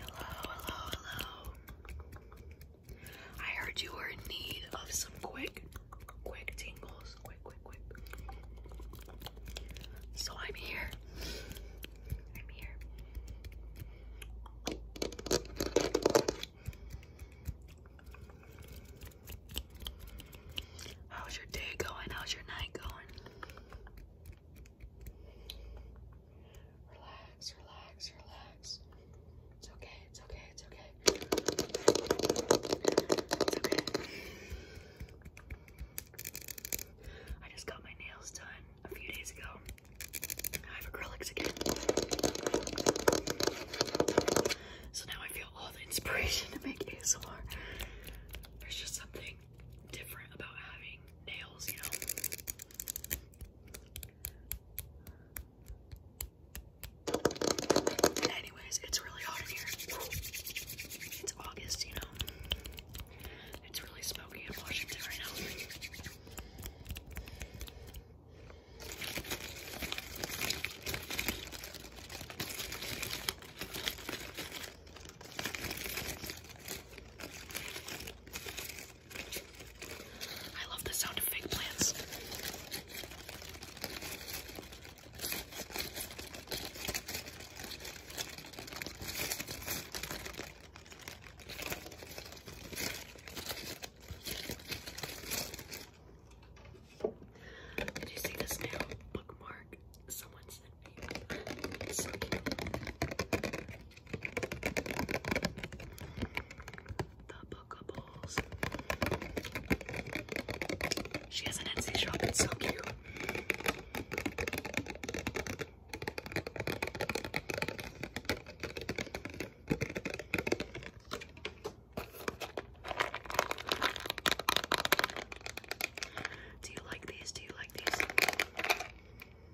Hello, hello, hello. I heard you were in need of some quick, quick tingles. Quick, quick, quick. So I'm here. I'm here. How's your day going? How's your night going? Relax, relax, relax. It's okay, it's okay, it's okay. It's okay. I just got my nails done a few days ago. I have acrylics again. So now I feel all the inspiration to make ASMR. There's just something different about having nails, you know. Anyways, it's really hot in here. It's August, you know. It's really smoky in Washington right now. I love the sound of fake plants. Did you see this now? Bookmark someone's the Bookables. She has an Etsy shop, it's so cute. Do you like these? Do you like these?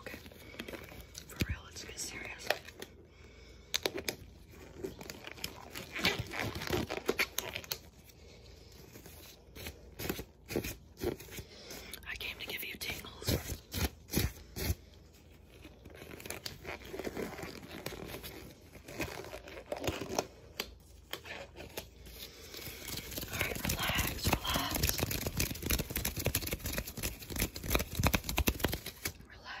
Okay. For real, let's get serious. I came to give you tingles. All right, relax, relax. Relax. Relax.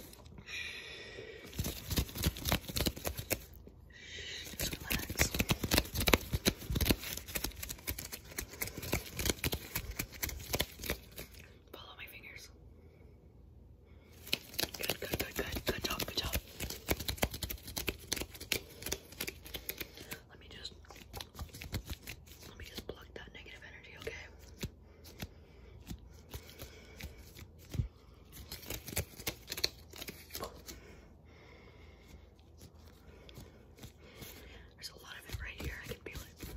Just relax. Follow my fingers. Good, good, good, good. Good job, good job. Let me just let me just pluck that negative energy, okay? There's a lot of it right here. I can feel it.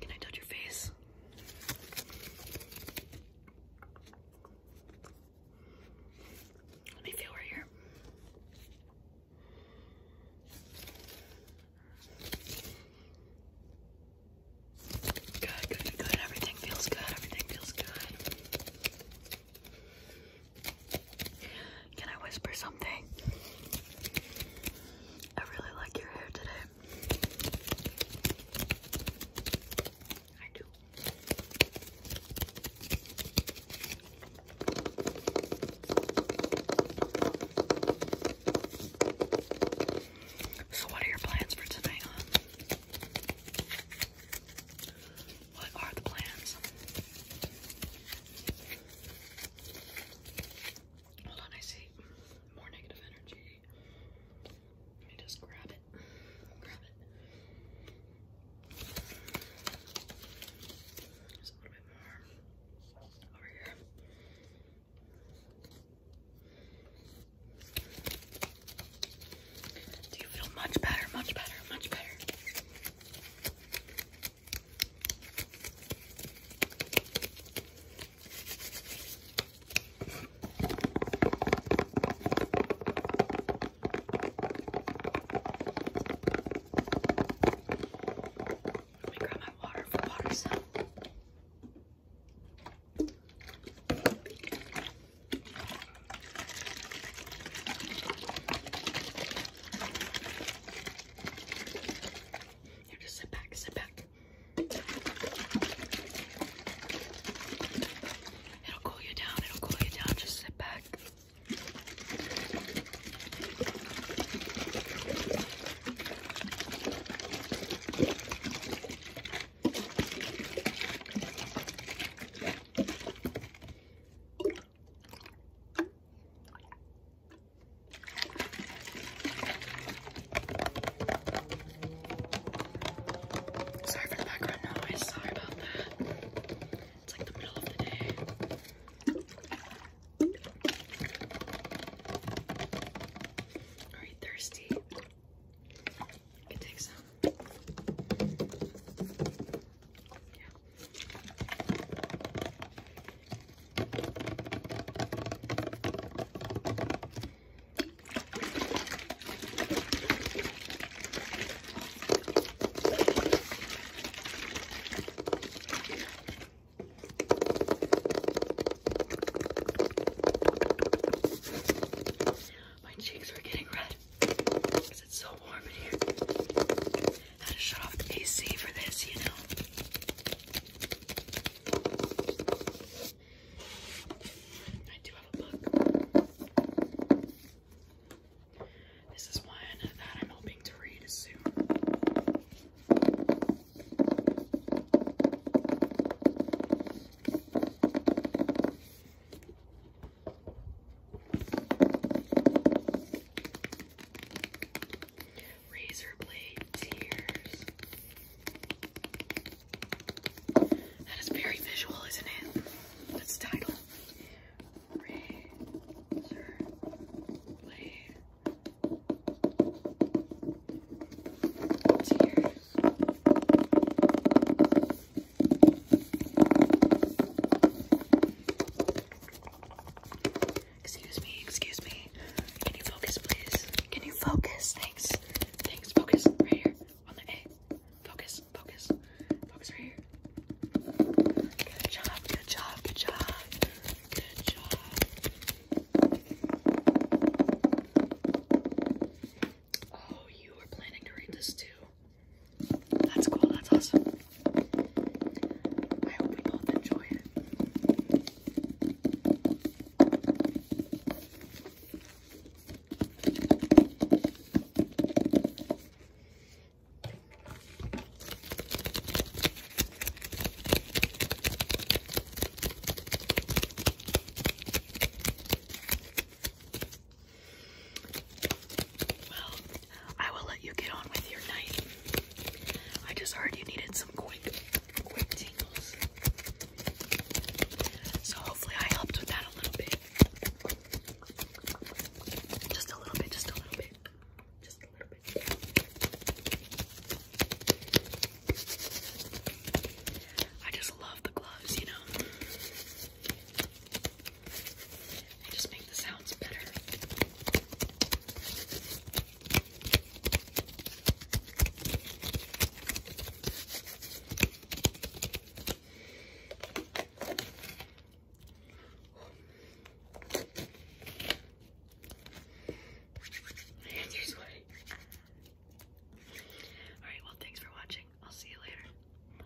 Can I touch your face? Let me feel right here. Good, good, good. Everything feels good. Everything feels good. Can I whisper something? I really like your hair today. I do. So, what are your plans for tonight, huh? What are the plans? Hold on, I see more negative energy. Let me just grab it. Grab it. Just a little bit more over here. Do you feel much better, much better, much better? Let me grab my water for water sound. Now just sit back, sit back. It'll cool you down, it'll cool you down. Just sit back. Sorry for the background noise, sorry about that. It's like the middle of the day. Are thirsty? I can take some. Yeah. My cheeks are getting red because it's so warm in here. I to shut off the AC for this, you know. I do have a book. This is one that I'm hoping to read soon. Razor blade tears. That is very visual, isn't it? That's the title. Razor blade tears. Excuse me, excuse me. Can you focus, please? Can you focus? Thanks. Thanks. Focus right here on the A. Focus, focus, focus right here. Good job, good job, good job. Good job. Oh, you were planning to read this too. That's cool, that's awesome. I hope we both enjoy it. Well, I will let you get on with your night. I just heard you needed some quick, quick tingles. So hopefully I helped with that a little bit. Just a little bit, just a little bit. Just a little bit. I just love the gloves, you know and just make the sounds better. And you're sweating. Alright, well, thanks for watching. I'll see you later.